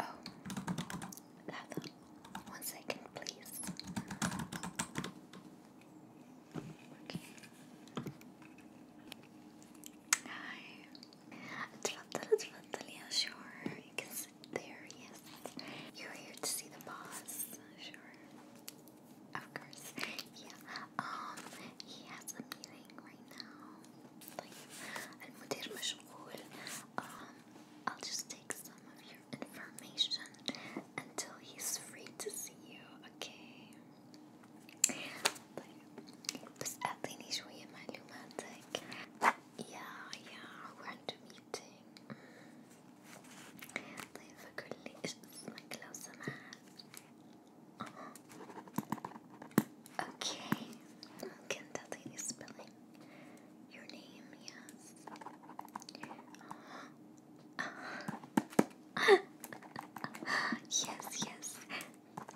Oh, Lava, one second, please. Okay. Hi. تفضل تفضل يا شعر. You there, yes. You're here to see the boss, sure. Of course, yeah. Um, he has a meeting right now. طيب المدير مشغول. Um, I'll just take some of your information until he's free to see you, okay? طيب بس أعطيني شوية معلوماتك. Yeah, yeah, we're on to meeting. طيب فقل لي إيش اسمك لو سمحت أوكي ممكن تعطيني spelling your name yes yes yes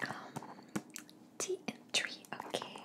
um and tree okay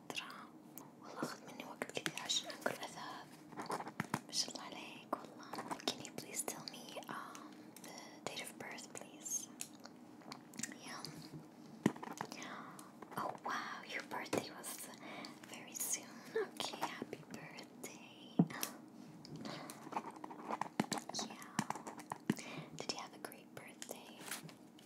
فترة والله أخذ مني وقت كثير can you please tell me um, the date of birth please yeah oh wow your birthday was very soon okay happy birthday yeah did you have a great birthday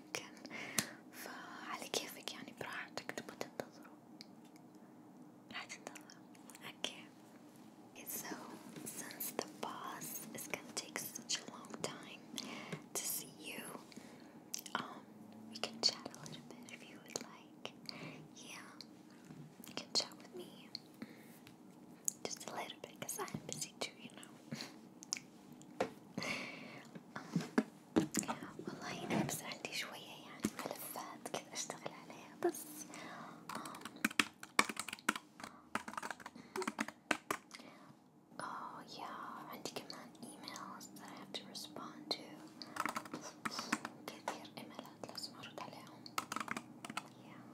يمكن فعلى كيفك يعني براحتك تبغى تنتظروا راح تنتظروا okay so since the boss is gonna take such a long time to see you um we can chat a little bit if you would like yeah you can chat with me just a little bit because I'm busy too you know والله أنا بس عندي شوية يعني ملفات كذا أشتغل عليها بس Oh آه، yeah, آه، عندي كمان emails that I have to respond to. كثير ايميلات لازم ارد عليهم. Yeah.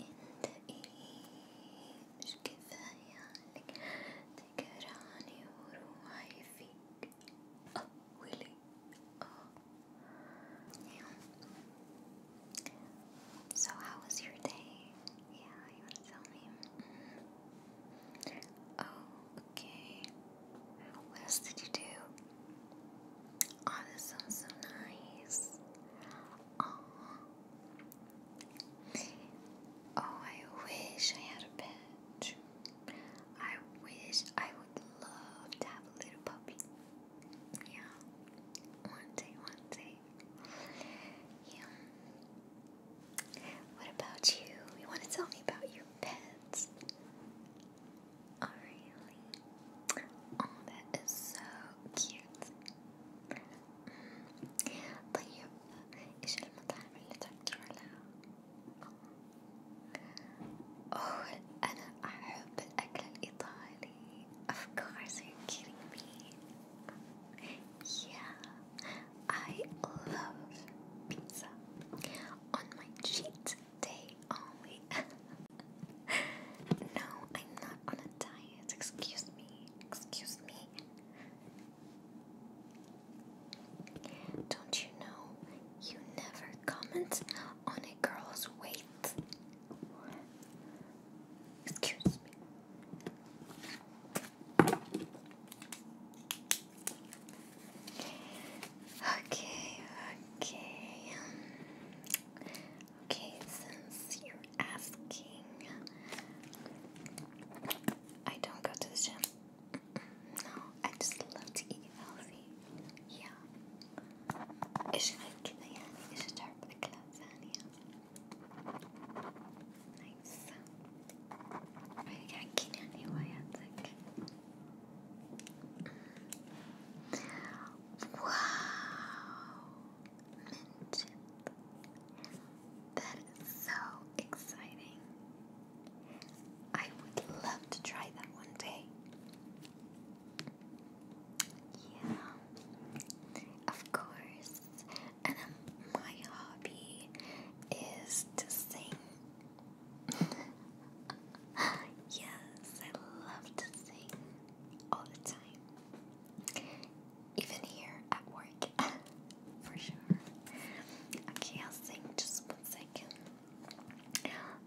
انت ايش كفاية عليك تقراني وروحي فيك اولي oh yeah so how was your day? yeah you wanna tell me? oh okay what else did you do? Oh, this sounds so nice. Aww, Oh, I wish I had a pet. I wish I would love to have a little puppy. Yeah, one day, one day. Yeah. What about you? You want to tell me about your pets? Oh, Oh, that is so cute. طيب إيش المطاعم اللي تروح لها؟ أوه أنا أحب الأكل الإيطالي. Of course, are you kidding me? Yeah, I love pizza on my cheat day only. no, I'm not on a diet. Excuse me. Excuse me. Don't you know you never comment on a girl's weight? Excuse me. Okay, okay. Um, Okay, since you're asking, I don't go to the gym. No, I just love to eat healthy. Yeah. ايش هالكذا يعني؟ ايش تعرف اكلات ثانية؟ نايس. حكيني عن هواياتك. واو mentioned. That is so exciting. I would love to try that one day. Yeah, of course. And um, my hobby is to sing. yes, I love to sing all the time. Even here at work, for sure. Okay, I'll sing just one second.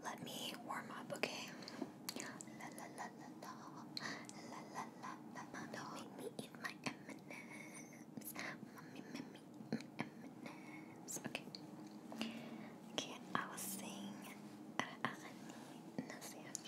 Let me warm up, okay? La la la la la, la la la la la. Don't make me eat my M&Ms, mommy, mommy, M&Ms. Okay. Okay, I will sing. Arani Nasihat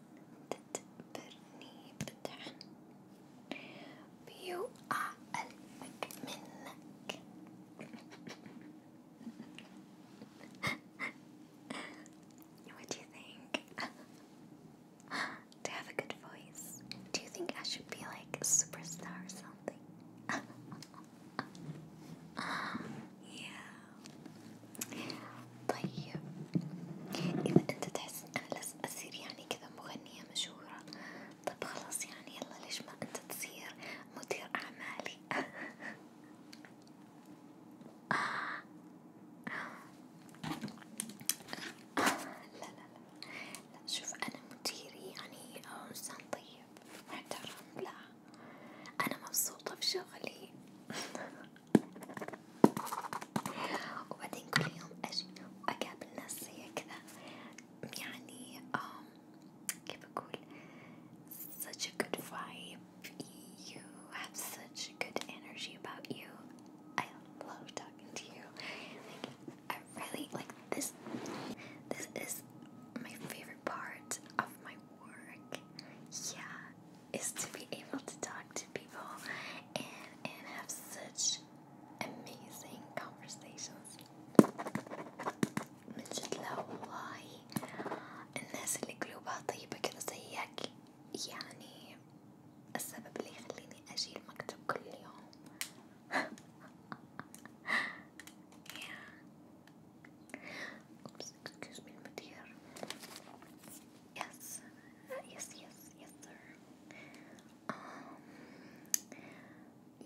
تدبرني بدعا بيوقع قلبك What do you think? Do I have a good voice? Do you think I should be like a superstar or something? yeah. طيب إذا أنت تحس أنا لازم أصير يعني كذا مغنية مشهورة طب خلاص يعني يلا ليش ما أنت تصير مدير أعمالي آه. آه. لا لا لا لا شوف أنا مديري يعني آه، إنسان طيب محترم لا أنا مبسوطة في شغلي وبعدين كل يوم أجي وأقابل ناس زي كذا يعني um, كيف أقول such a good vibe you have such good energy about you I love talking to you like I really like this this is my favorite part of my work yeah is to be able to talk to people and and have such amazing conversations. مجد والله الناس اللي قلوبها طيبة كذا زيك يعني السبب اللي يخليني أجي المكتب كل يوم yeah. excuse me المدير Yes, uh, yes, yes, yes, sir. Um,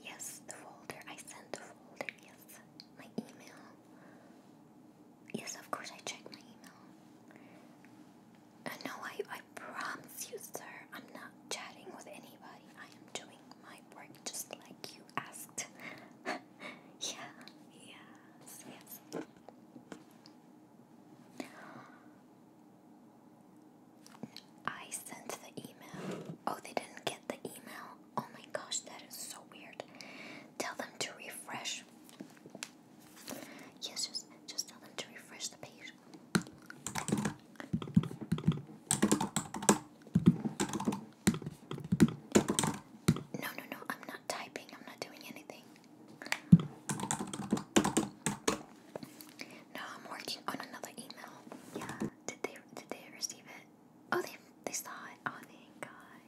yes, the folder. I sent the folder. Yes, my email. Yes, of course I checked my email. Uh, no, I, I promise you, sir, I'm not chatting with anybody. I am doing my work just like you asked. yeah, yes, yes. I sent the email. Oh, they didn't get the email. Oh my gosh, that is so weird. Tell them to refresh. Yes, just just tell them to refresh the page. No, no, no. I'm not typing. I'm not doing anything. No, I'm working on another email. Yeah, did they did they receive it? Oh, they they saw it. Oh, thank God.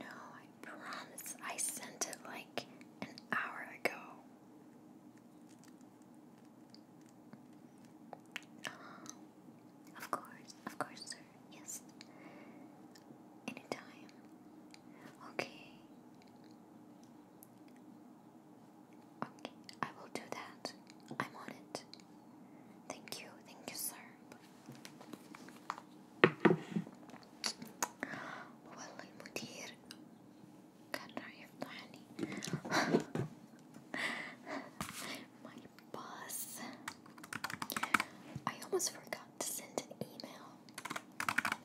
No, I promise. I sent it like an hour ago. of course, of course. Yes. Anytime. Okay. Okay, I will do that. I'm on it. Thank you, thank you, sir. والله المدير كان رايح يفضحني. My boss. I almost forgot to send an email.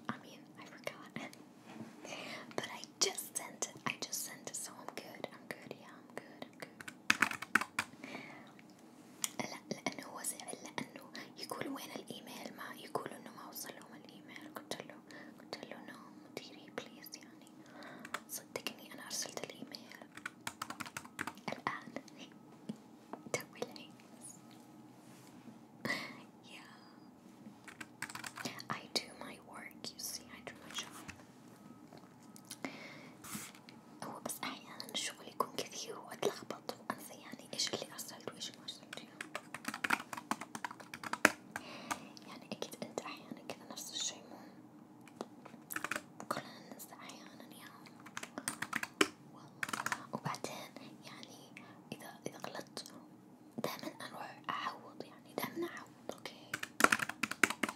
I mean, I forgot. but I just sent it. I just sent it, so I'm good. I'm good. Yeah, I'm good. I'm good. لا لأنه هو زعل لأنه يقول وين الإيميل ما يقول إنه ما وصل لهم الإيميل قلت له قلت له نو مديري بليز يعني صدقني أنا أرسلت الإيميل الآن توي العيس yeah I do my work you see I do my job هو بس أحيانا الشغل يكون كثير وأتلخبط وأنسى يعني إيش اللي أرسلت وإيش ما أرسلت يعني أكيد أنت أحيانا كذا نفس الشي مو كلنا ننسى أحيانا يا وبعدين يعني إذا إذا غلطت دائما أروح أعوض يعني دائما أعوض أوكي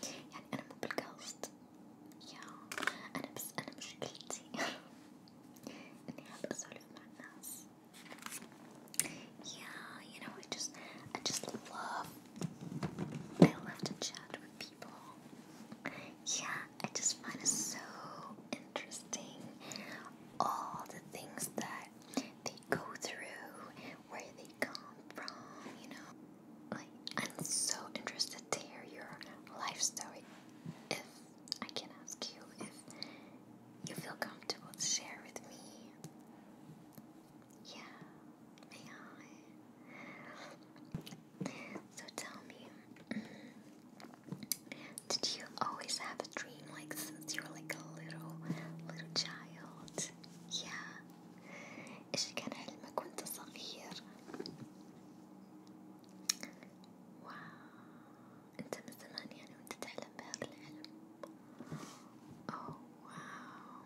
يعني أنا مو بالقصد يا أنا بس أنا مشكلتي إني أحب أسولف مع الناس yeah you know I just I just love I love to chat with yeah, I just find it so interesting. All the things that they go through, where they come from, you know. Like, I'm so interested to hear your life story. If I can ask you if you feel comfortable to share with me. Yeah, may I? So tell me, mm, did you always have a dream like since you were like a little, little child? Yeah. إيش كان حلمك وأنت صغير؟ واو أنت من زمان يعني وأنت تحلم بهذا الحلم. Oh wow.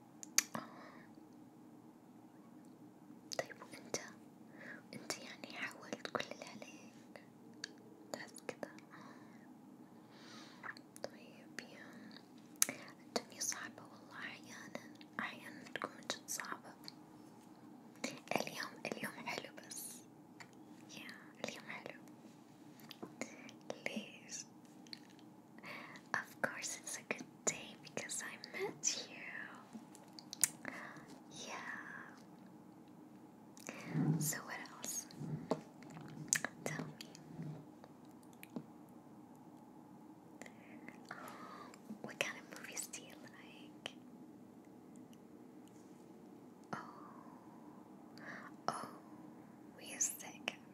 طيب وانت انت يعني حاولت كل اللي عليك تحس كذا طيب يا الدنيا صعبة والله أحيانا أحيانا تكون جد صعبة اليوم اليوم حلو بس يا اليوم حلو ليش؟ Of course, it's a good day because I met you. Yeah. So, what else? Tell me. Oh, what kind of movies do you like? Oh, oh, music.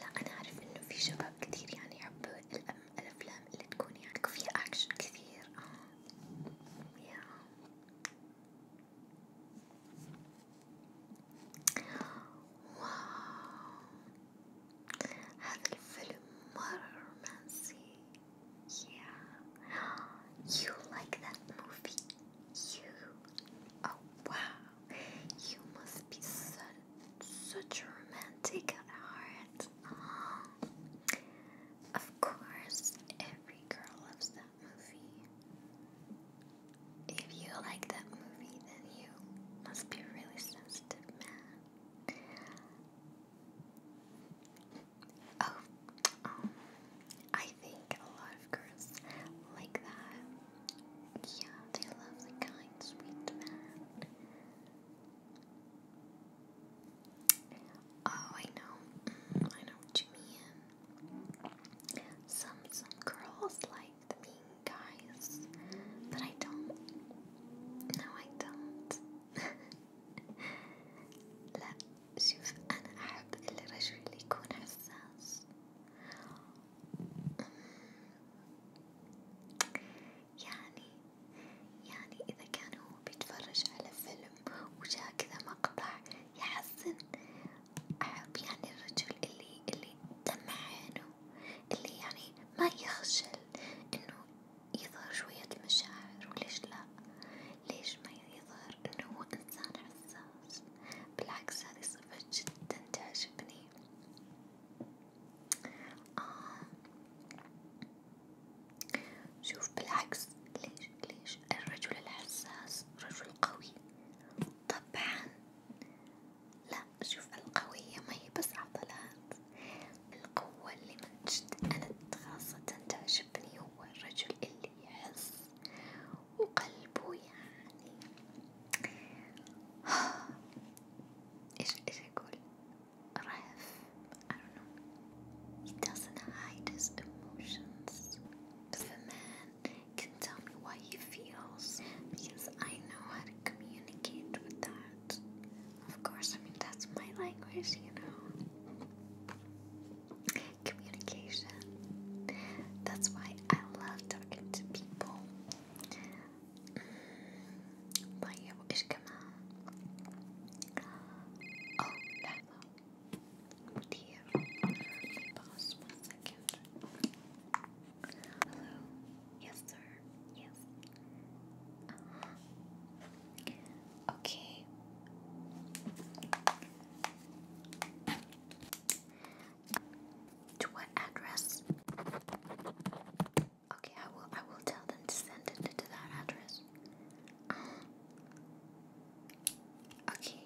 لا أنا أعرف إنه في شباب كتير يعني يحبوا الأفلام اللي تكون يعني فيها أكشن كثير آه يا واو هذا الفيلم مرة رومانسي yeah you like that movie you oh wow you must be such, such a romantic at heart. Of course, every girl loves that movie. If you like that movie, then you must be really sensitive man. Oh, um, I think a lot of girls like that. Yeah, they love the kind, sweet man. Oh, I know. Mm, I know what you mean. Some some girls like the mean guys, but I don't. No, I don't. لا شوف أنا أحب الرجل اللي يكون حساس يعني يعني إذا كان هو بيتفرج على فيلم وجاء كذا مقطع يحزن أحب يعني الرجل اللي اللي دمع عينه اللي يعني ما يخجل إنه يظهر شوية مشاعر وليش لأ ليش ما يظهر إنه هو إنسان حساس بالعكس هذه صفة جدا تعجبني آه. شوف بالعكس ليش ليش الرجل الحساس رجل قوي طبعا لا شوف القوية ما هي بس عضلات القوة اللي من جد أنا خاصة تعجبني هو الرجل اللي يحس وقلبه يعني إيش إيش أقول رهف I don't know he doesn't hide his emotions but the man can tell me why he feels because I know how to communicate with that of course I mean that's my language you know communication. That's why I love talking to people. طيب وإيش كمان؟ أوه لحظة مدير boss one second. Hello? Yes sir. Yes. Uh-huh. Okay. To what address? Okay, I will. I will tell them to send it to that address. Um, okay.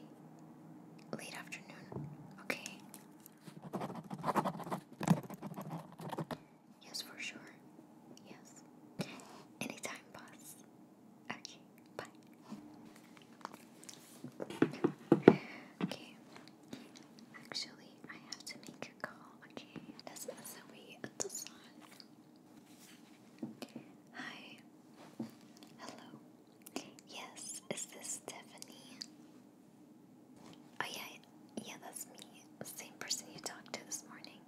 Late afternoon. Okay. Yes, for sure. Yes. Anytime, boss. Okay, bye. Okay, actually, I have to make a call. Okay, this is we at the sun. Hi. Hello. Yes, is this Stephanie? Oh yeah, yeah, that's me. Same person you talked to this morning.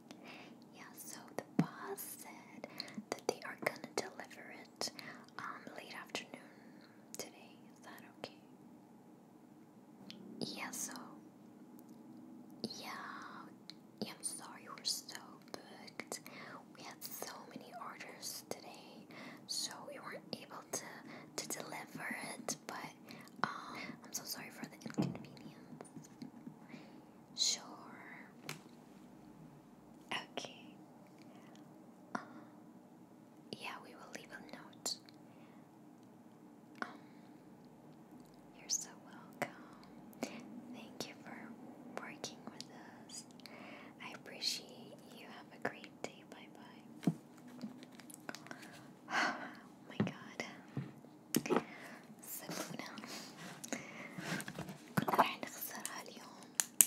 Yeah, so the boss said that they are gonna deliver it it um, late afternoon today. Is that okay? Yeah, so. Yeah, I'm sorry we're so booked. We had so many orders today, so we weren't able to to deliver it. But um, I'm so sorry for the inconvenience. Sure. Okay. Uh, yeah, we will leave a note. Um, you're so welcome. Thank you for working with us. I appreciate you. Have a great day. Bye bye. Oh my god. سبونا كنا راح نخسرها اليوم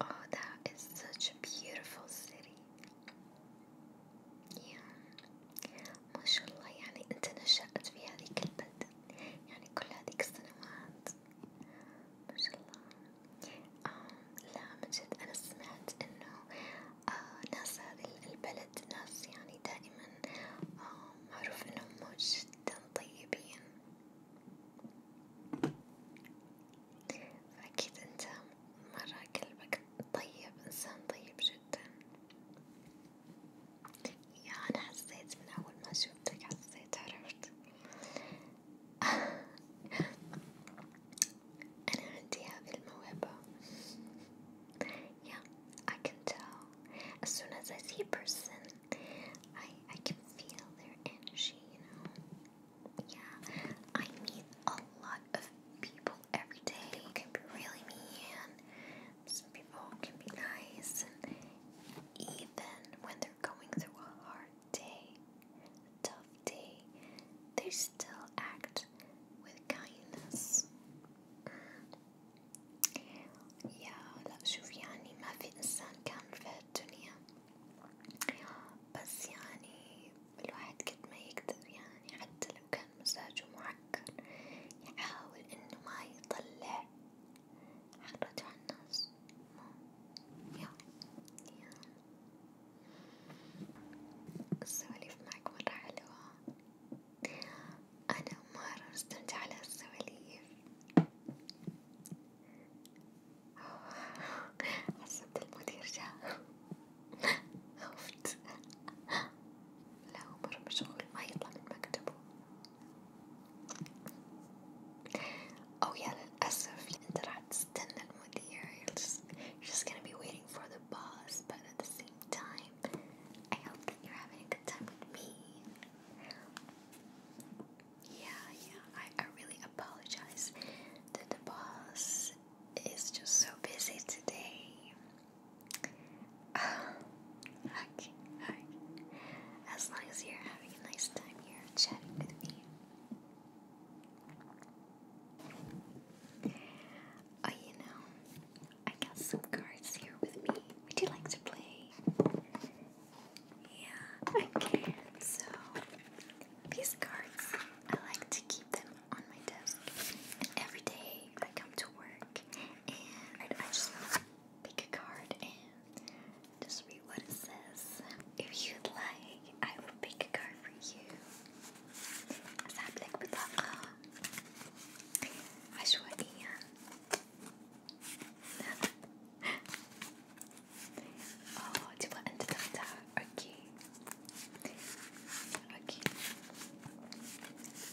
Oh, that is such a beautiful city. Yeah. ما شاء الله يعني أنت نشأت في هذيك البلدة يعني كل هذيك السنوات ما شاء الله. آه لا من جد أنا سمعت إنه آه ناس هذه البلد ناس يعني دائما آه معروف إنهم جدا طيبين فأكيد أنت مرة قلبك طيب إنسان طيب جدا يا أنا حسيت من أول ما شوفتك حسيت عرفت أنا عندي هذه الموهبة yeah I can tell as soon as I I can feel their energy, you know. Yeah, I meet a lot of people every day. People can be really mean. Some people can be nice, and even when they're going through a hard day, tough day, they still act with kindness. يا لا شوف يعني ما في إنسان كامل في هالدنيا بس يعني الواحد قد ما يقدر يعني حتى لو كان مزاجه معكر يحاول إنه ما يطلع حرته على الناس يا يا السواليف معك مرة حلوة I don't على السواليف، عصبت المدير جا، خفت، لا هو مرة مشغول ما يطلع من مكتبه، أو يا للأسف أنت راح تستنى المدير، you're to the boss, but at I am that you yeah, yeah, I, I really apologize that the boss is just so busy today. okay, okay. As long as you're having a nice time here chatting with me. Oh, you know, I got some cards here with me. Would you like to play? Yeah, okay. So, these cards, I like to keep them on my desk. And every day I come to work and I just pick a card and just read what it says. If you'd like, I will pick a card for you. أسحب لك بطاقة اه تبغى انت تختار اوكي اوكي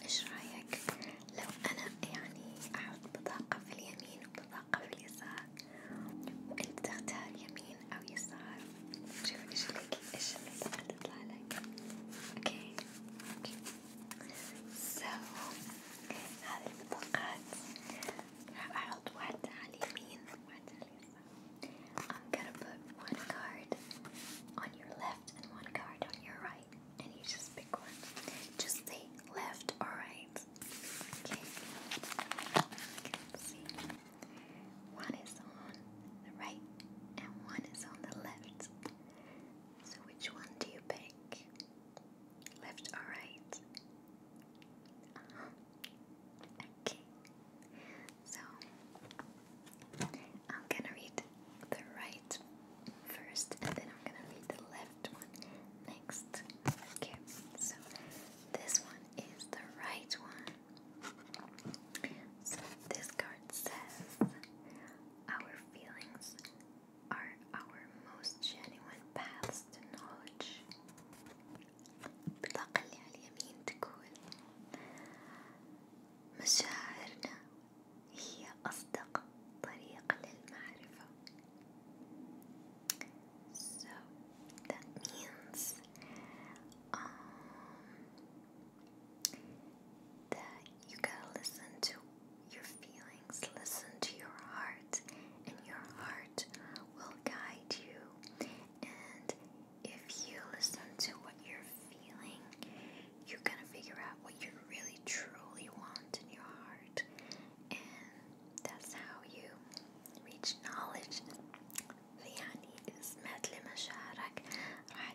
ايش رايك لو انا يعني احط بطاقة في اليمين وبطاقة في اليسار وانت تختار يمين او يسار شوف ايش لك ايش اللي تطلع لك اوكي اوكي So هذه البطاقات راح أحط واحدة على اليمين وواحدة على I'm gonna put one card on your left and one card on your right, and you just pick one. Just say left or right. Okay. Let's see. One is on the right and one is on the left. So which one do you pick? left or right? Uh-huh. Okay, so I'm gonna read the right first and then I'm gonna read the left one next. Okay, so this one is the right one. So this card says, Our feelings are our most genuine paths to knowledge البطاقة اللي على اليمين تقول مشاعرنا هي أصدق طريق للمعرفة So that means um, that you gotta listen to your feelings, listen to your heart, and your heart will guide you. And if you listen to what you're feeling, you're gonna figure out what you really truly want in your heart. And that's how you reach knowledge. في يعني اسمات لمشاعرك راح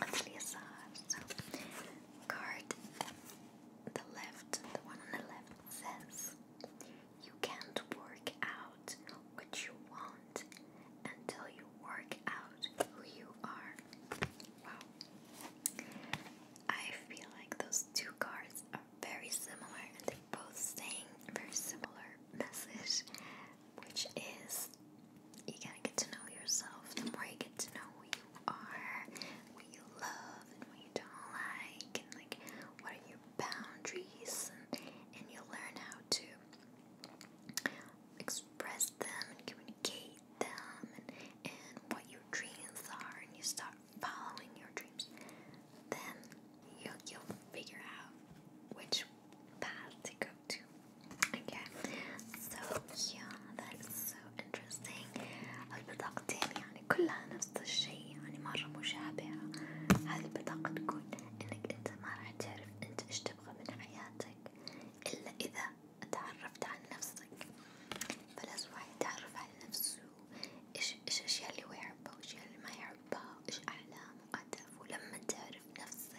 on the side. So, card the left, the one on the left says, You can't work out what you want until you work out who you are. Wow. I feel like those two cards are very similar and they're both saying very similar message which is you gotta get to know yourself. The more you get to know who you are, what you love, and what you don't like, and like what are your boundaries, and, and you learn how to express them and communicate them, and, and what your dreams are, and you start following your dreams. Then you'll, you'll figure out which path to go to. Okay, so yeah, that's so interesting. البطاقتين يعني كلها نفس الشيء يعني مرة مشابهة. هذه البطاقة تقول إنك أنت ما راح تعرف أنت إيش تبغى من حياتك إلا إذا تعرفت عن نفسك. فلازم الواحد يتعرف على نفسه إيش إيش الأشياء اللي هو يحبها وإيش اللي ما يحبها وإيش أحلامه وأهدافه لما تعرف نفسك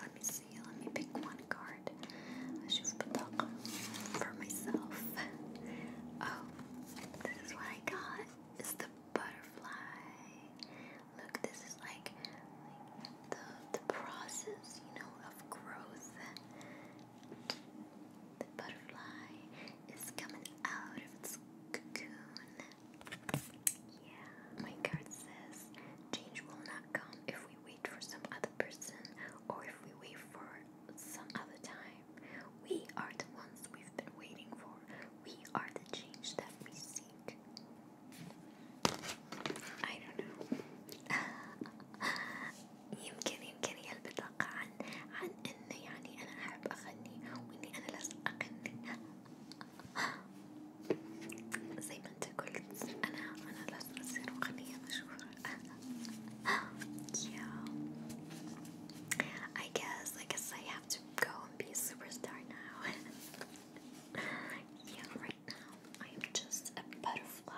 Let me see, let me pick one card. أشوف بطاقة for myself. Oh, this is what I got. It's the butterfly. Look, this is like, like the the process, you know, of growth. The butterfly is coming out of its cocoon. Yeah, my card says change will not come if we wait for some other person or if we wait for some other time. We are the ones we've been waiting for. We are the change that we seek. I don't know. يمكن يمكن هي عن عن إنه يعني أنا أحب أغني وإني أنا لازم أغني I guess I guess I have to go and be a superstar now yeah right now I am just a butterfly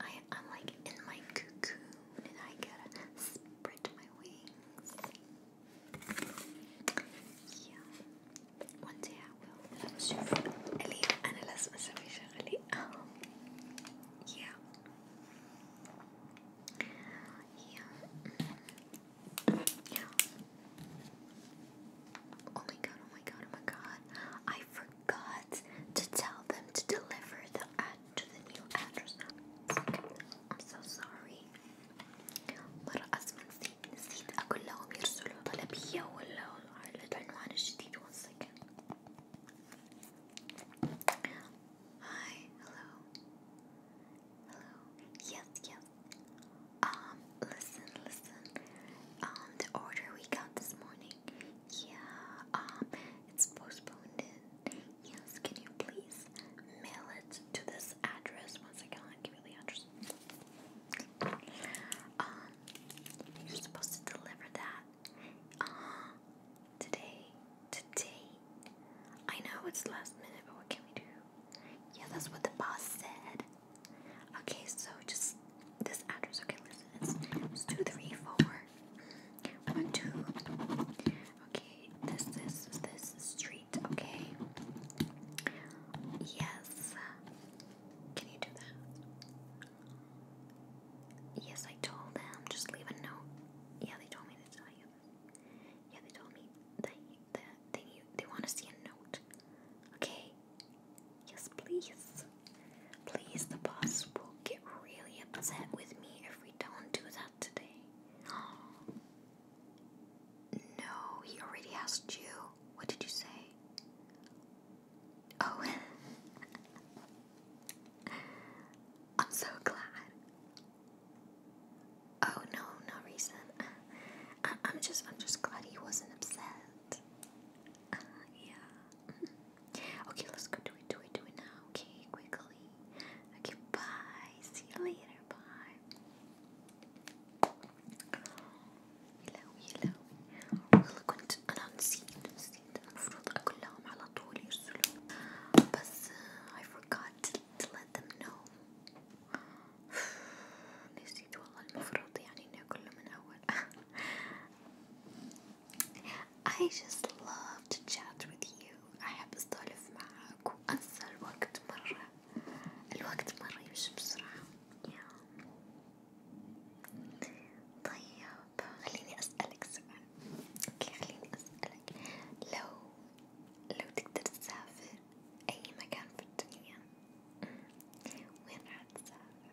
I I'm like in my cocoon and I gotta spread my wings yeah one day I will شوف اللي أنا لازم أسوي شغلي yeah yeah oh my god oh my god oh my god I forgot to tell them to deliver the ad to the new address I'm so sorry مرة أصلا نسيت نسيت Hi, hello Hello, yes, yes Um, listen, listen Um, the order we got this morning Yeah, um, it's postponed Yes, can you please mail it to this address? Once again, give you the address um, you're supposed to deliver that uh, today. Today. I know it's last minute, but what can we do? Yeah, that's what the boss said. Okay, so just this address. Okay, listen, it's two, three, four, one, two. Okay, this, this, this street okay? Yes. Can you do that? Yes, I told them. Just leave a note. Yeah, they told me to tell you. Yeah, they told me that, that they, they want to see a note. Okay? Yes, please. Please, the boss will get really upset with me if we don't do that today. No, he already asked you. What did you say? Oh. I'm so glad. Oh no, no reason. I, am just, I'm just glad he wasn't upset. Uh, yeah. Okay, let's go do it, do it, do it now. Okay, quickly. Okay, bye. See you later. Bye. يلاوي يلاوي والله كنت أنا نسيت نسيت المفروض أقول لهم على طول يرسلوا بس I forgot to let them know نسيت والله المفروض يعني إني أقول من أول I just love to chat with you أحب أسولف معاك وأنسى الوقت مرة الوقت مرة يمشي بسرعة طيب خليني أسألك سؤال اوكي خليني أسألك لو لو تقدر تسافر أي مكان في الدنيا وين راح تسافر؟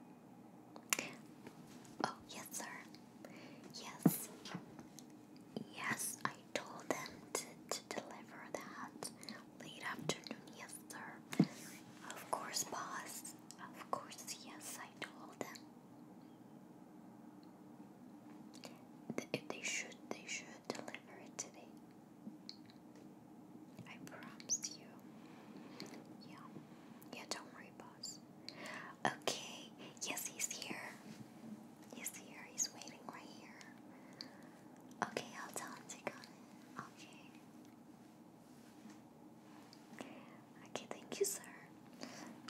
Oh yes sir yes yes I told them to, to deliver that late afternoon, yes, sir. Of course, boss. Of course, yes, I told them. they should, they should deliver it today. I promise you. Yeah. Yeah, don't worry, boss. Okay. Yes, he's here. He's here. He's waiting right here. OK，要讲这个。OK。Okay, thank you, sir.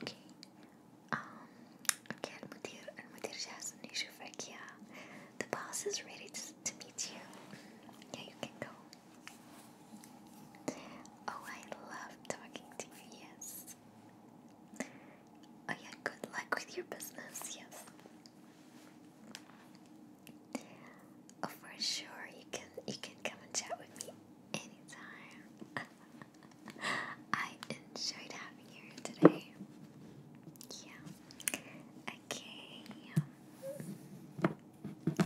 Okay. Um, okay, المدير المدير جاهز إنه يشوفك يا. The boss is ready to, to meet you. Yeah, you can go. Oh, I love talking to you. Yes. Oh yeah, good luck with your business. Yes. Oh, for sure, you can you can come and chat with me anytime. I enjoyed having you today. Yeah. Okay. Okay. Bye.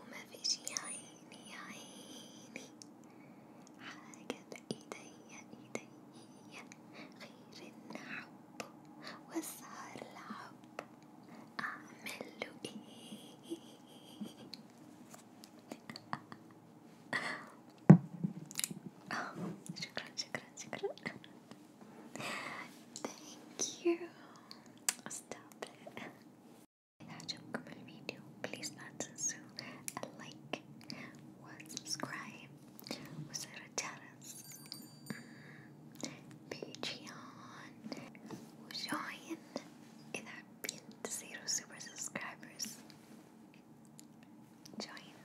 وما في شي عيني عيني حاجة بإيديا إيديا غير إن أحبه وأسهر لعبه أعمله إيه Oh, shukran, shukran, shukran. Thank you. Stop it. إذا عجبكم الفيديو بليز لا تنسوا اللايك والسبسكرايب وزر الجرس بيجيون وجوين إذا حابين تصيروا سوبر سبسكرايبرز جوين